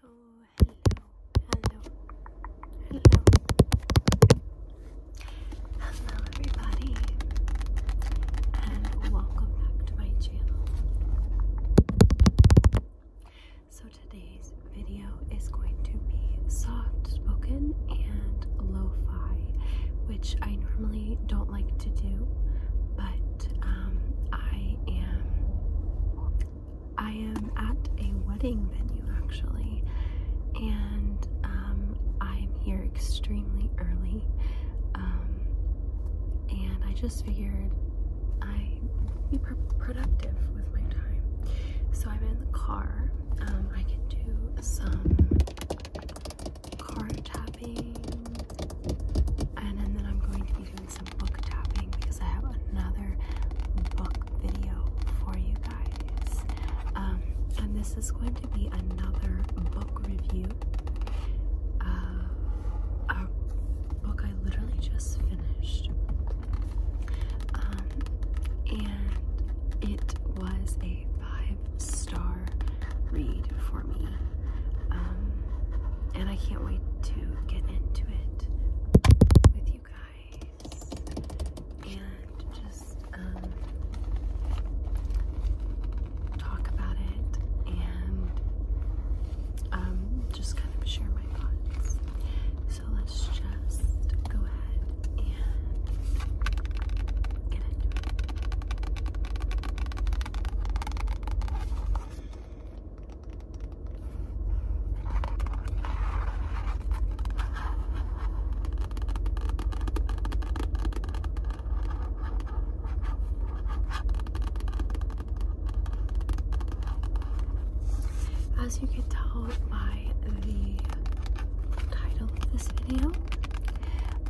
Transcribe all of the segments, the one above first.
Hello, hello, hello, hello. Hello, everybody, and welcome back to my channel. So, today's video is going to be soft spoken and lo fi, which I normally don't like to do, but um, I am I am at a wedding venue actually, and um, I am here extremely early, um, and I just figured I would be productive with my time. So I'm in the car. I can do some car tapping and, then I'm going to be doing some book tapping because I have another book video for you guys. Um, and this is going to be another book review a book I literally just finished. Um, and it was a five star read for me. Um, and I can't wait to get into it with you guys and just um, talk about it and um, just kind of share my thoughts. So let's just go ahead and get into it. As you can tell by the title of this video,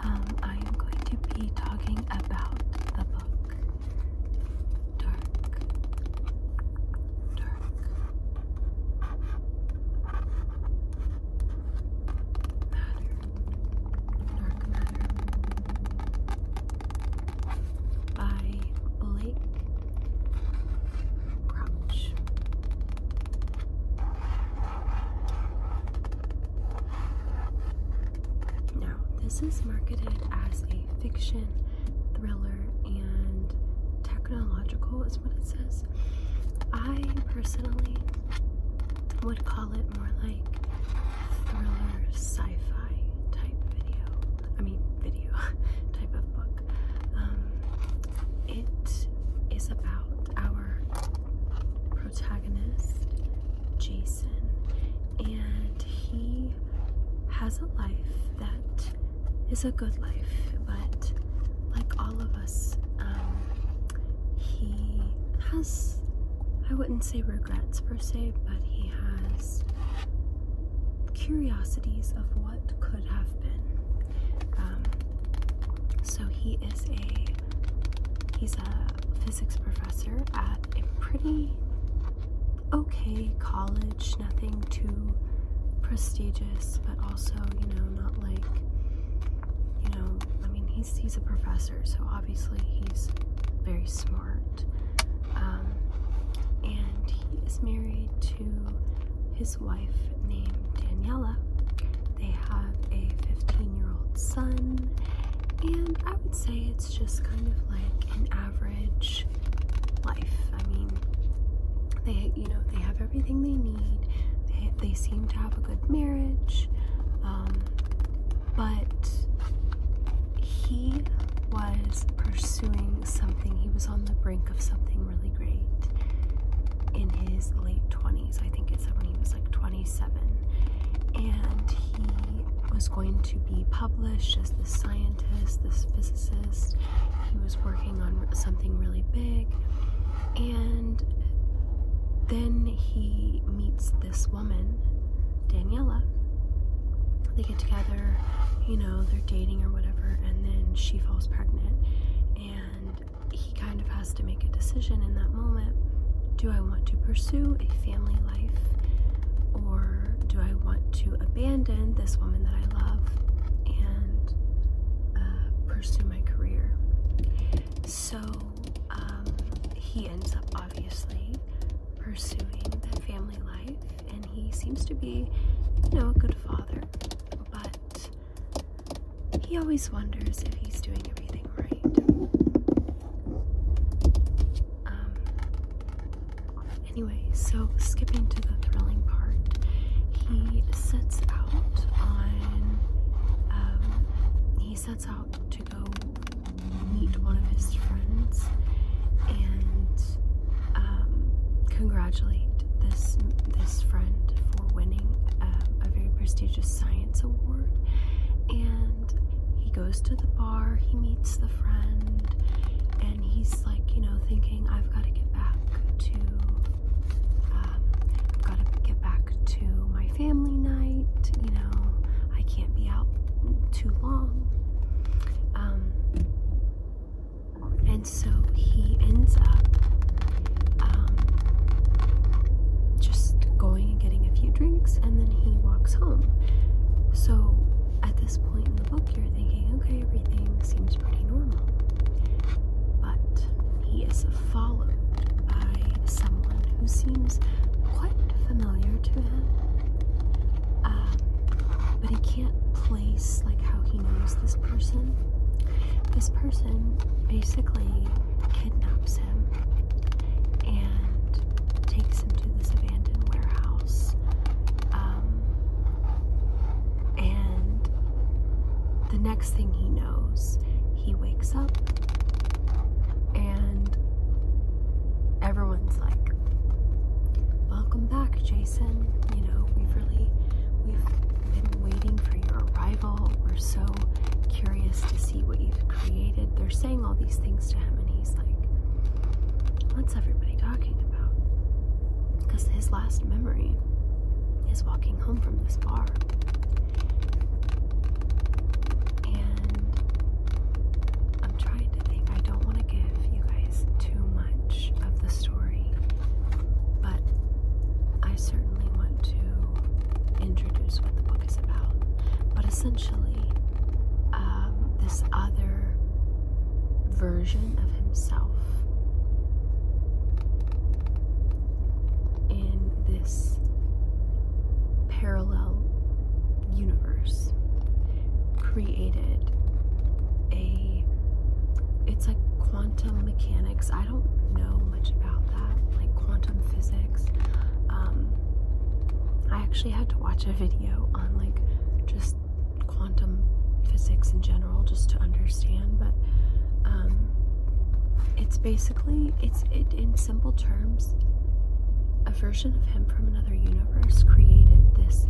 um, I am going to be talking about the book dark, dark matter, dark matter by Blake Crouch. Now, this is marketed as a fiction, thriller, and technological, is what it says. I personally would call it more like thriller sci fi type video. I mean, video type of book. Um, it is about our protagonist, Jason and he has a life that is a good life, but like all of us, um, he has, I wouldn't say regrets per se, but he has curiosities of what could have been. Um, so he is a, he's a physics professor at a pretty okay college, nothing too prestigious, but also, you know, not like, you know, I mean, he's, he's a professor, so obviously he's very smart. Um, and he is married to his wife named Daniela. They have a 15 year old son, and I would say it's it's just kind of like an average life. I mean, they you know they have everything they need. They they seem to have a good marriage, um, but he was pursuing something. He was on the brink of something really great in his late twenties. I think it said when he was like 20 27 and he was going to be published as this scientist, this physicist. He was working on something really big and then he meets this woman, Daniela. They get together, you know, they're dating or whatever, and then she falls pregnant. And he kind of has to make a decision in that moment do I want to pursue a family life or do I want to abandon this woman that I love and uh, pursue my career? So um, he ends up obviously pursuing that family life and he seems to be, you know, a good father, but he always wonders if he's doing everything right. Um, anyway, so skipping to the thrilling part, he sets out on. Um, he sets out to go meet one of his friends and um, congratulate this this friend for winning uh, a very prestigious science award and he goes to the bar, he meets the friend, and he's like, you know, thinking, I've got to get back to, um, got to get back to my family night, you know, I can't be out too long. Um, and so he ends up um, just going and getting a few drinks, and then he walks home. So at this point in the book, you're thinking, okay, everything seems pretty normal. But he is followed by someone who seems quite familiar to him. Um, but he can't place like how he knows this person. This person basically kidnaps him and takes him to this abandoned warehouse. Um, and the next thing he knows, he wakes up and everyone's like, Welcome back, Jason. You know, we've really we've been waiting for your arrival. We're so curious to see what you've created. They're saying all these things to him and 90s. Like, what's everybody talking about? Because his last memory is walking home from this bar. And I'm trying to think, I don't want to give you guys too much of the story, but I certainly want to introduce what the book is about. But essentially, essentially um, this other version of himself in this parallel universe created a it's like quantum mechanics i don't know much about that like quantum physics um, I actually had to watch a video on like just quantum physics in general just to understand, but um, it's basically it's in simple terms a version of him from another universe created this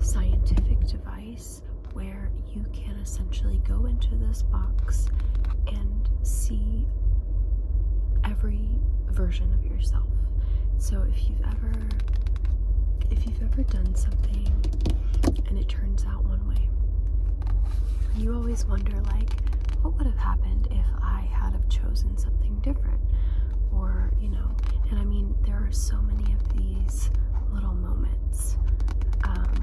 scientific device where you can essentially go into this box and see every version of yourself. So if you've ever if you've ever done something and it turns out one way, you always wonder like what would have happened if I had have chosen something different or, you know, and I mean there are so many of these little moments. Um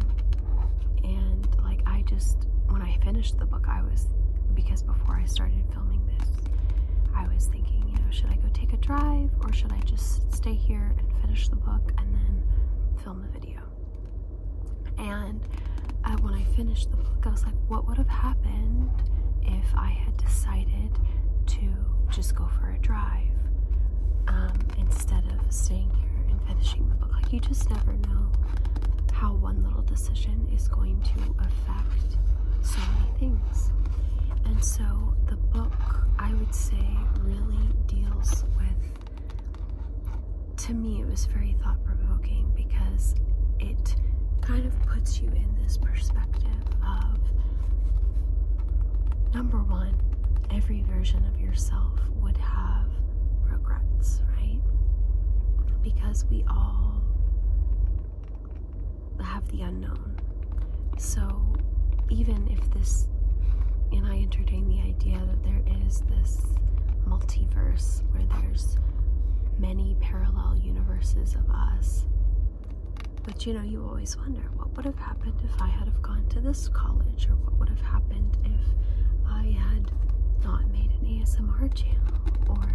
and like I just when I finished the book, I was because before I started filming this, I was thinking, you know, should I go take a drive or should I just stay here and finish the book and then film the video? And uh, when I finished the book, I was like, what would have happened if I had decided to just go for a drive um, instead of staying here and finishing the book? Like, you just never know how one little decision is going to affect so many things. And so the book, I would say, really deals with, to me, it was very thought provoking because it kind of puts you in this perspective of number one, every version of yourself would have regrets, right? Because we all have the unknown. So even if this, and I entertain the idea that there is this multiverse where there's many parallel universes of us. But you know, you always wonder what would have happened if I had have gone to this college, or what would have happened if I had not made an ASMR channel or,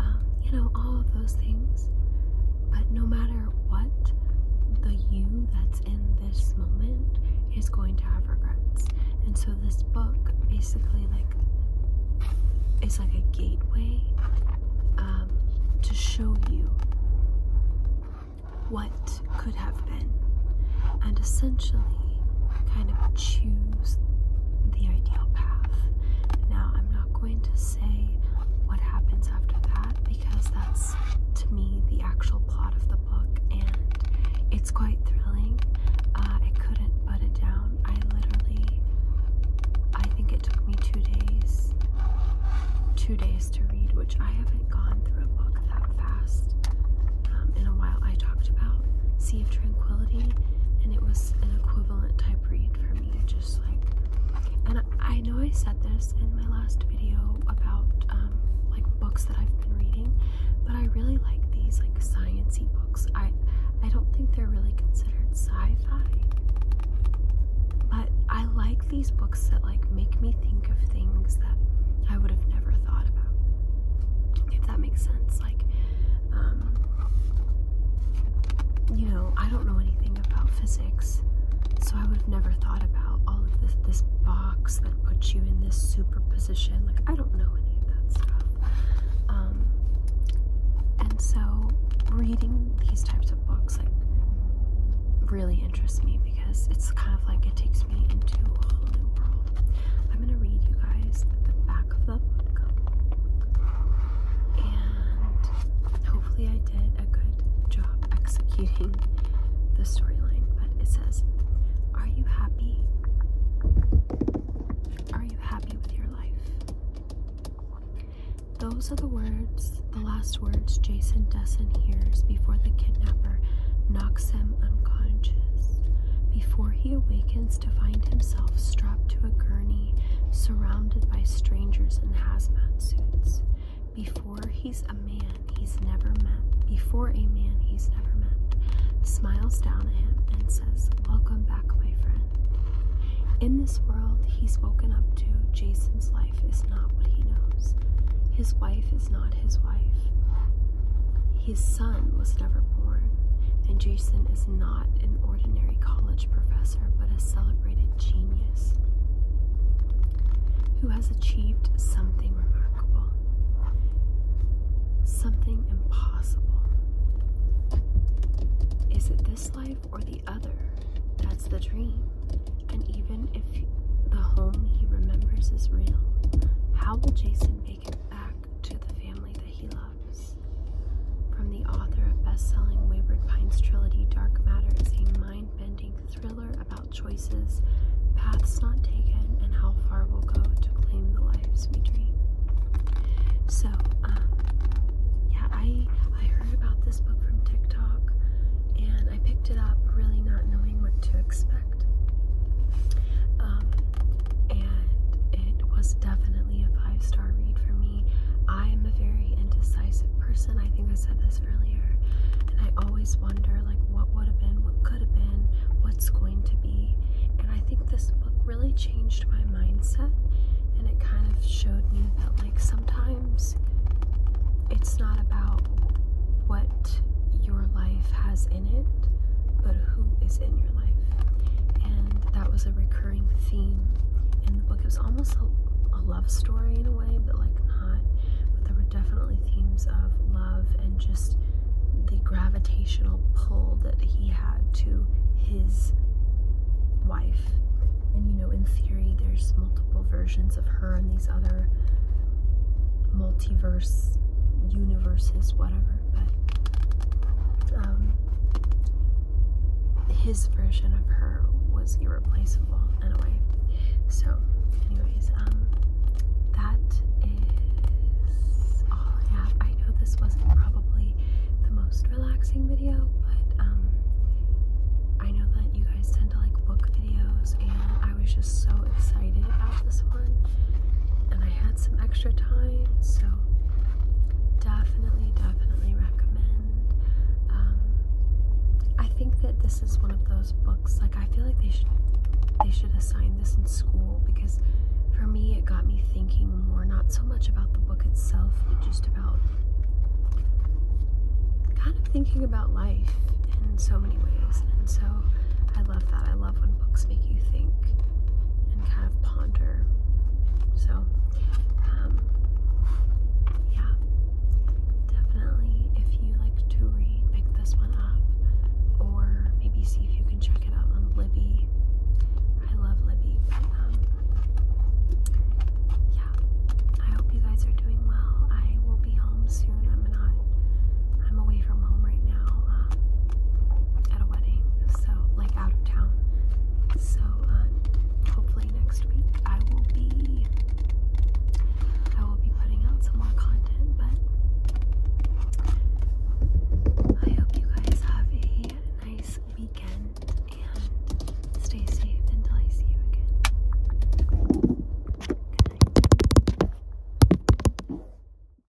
um, you know, all of those things. But no matter what, the you that's in this moment is going to have regrets. And so this book basically like is like a gateway um, to show you what could have been. And essentially, kind of choose the ideal path. Now, I'm not going to say what happens after that because that's to me the actual plot of the book and it's quite thrilling. Uh, I couldn't put it down. I literally, I think it took me two days, two days to read, which I haven't gone through a book that fast um, in a while. I talked about Sea of Tranquility, and it was an equivalent type read for me. Just like, and I, know I said this in my last video about um, like books that I've been reading, but I really like these like sciencey books. I I don't think they're really considered sci-fi, but I like these books that like make me think of things that I would have never thought about. If that makes sense, like um, you know, I don't know anything about physics, so I would have never thought about all of this this box that puts you in this superposition. Like I don't know any of that stuff. Um, and so reading these types of books like really interests me because it's kind of like it takes me into a whole new world. I'm gonna read you guys the back of the book, and hopefully, I did a good job executing the storyline. But it says, Are you happy? Are you happy with your life? Those are the words, the last words Jason Dessen hears before the kidnapper knocks him unconscious. Before he awakens to find himself strapped to a gurney, surrounded by strangers in hazmat suits. Before he's a man he's never met, before a man he's never met, smiles down at him and says, Welcome back, my friend. In this world, he's woken up to Jason's life is not what he knows. His wife is not his wife. His son was never born, and Jason is not an ordinary college professor but a celebrated genius who has achieved something remarkable, something impossible. Is it this life or the other? That's the dream. And even if the home he remembers is real, how will Jason make it back to the family that he loves? from the author of best-selling Wayward Pines trilogy Dark Matter is a mind-bending thriller about choices, paths not taken, and how far we'll go to claim the lives we dream. So, um, yeah, I I heard about this book from TikTok and I picked it up really not knowing what to expect. Um, and it was definitely a five star read for me. I am a very indecisive person. I think I said this earlier, and I always wonder like what would have been, what could have been, what's going to be. And I think this book really changed my mindset, and it kind of showed me that like sometimes it's not about what your life has but who is in your life. And that was a recurring theme in the book. It was almost a, love story in a way, but like not. But there were definitely themes of love and just the gravitational pull that he had to his wife. And you know, in theory, there's multiple versions of her and these other multiverse universes, whatever but um, his version of her was irreplaceable in a way. So, anyways, um, that is all I have. I know this wasn't probably the most relaxing video, but um, I know that you guys tend to like book videos, and I was just so excited about this one, and I had some extra time, so definitely, definitely recommend. Um, I think that this is one of those books. Like I feel like they should they should assign this in school because for me it got me thinking more, not so much about the book itself, but just about kind of thinking about life in so many ways. And so I love that. I love when books make you think and kind of ponder. So, um, yeah, definitely if you like to read, pick this one up or maybe see if you can check it out on Libby. I love Libby. Um, yeah, I hope you guys are doing well. I will be home soon. I'm not I'm away from home right now uh, at a wedding, so like out of town. So uh, hopefully next week I will be I will be putting out some more content, but I hope you guys have a nice weekend and stay safe until I see you again.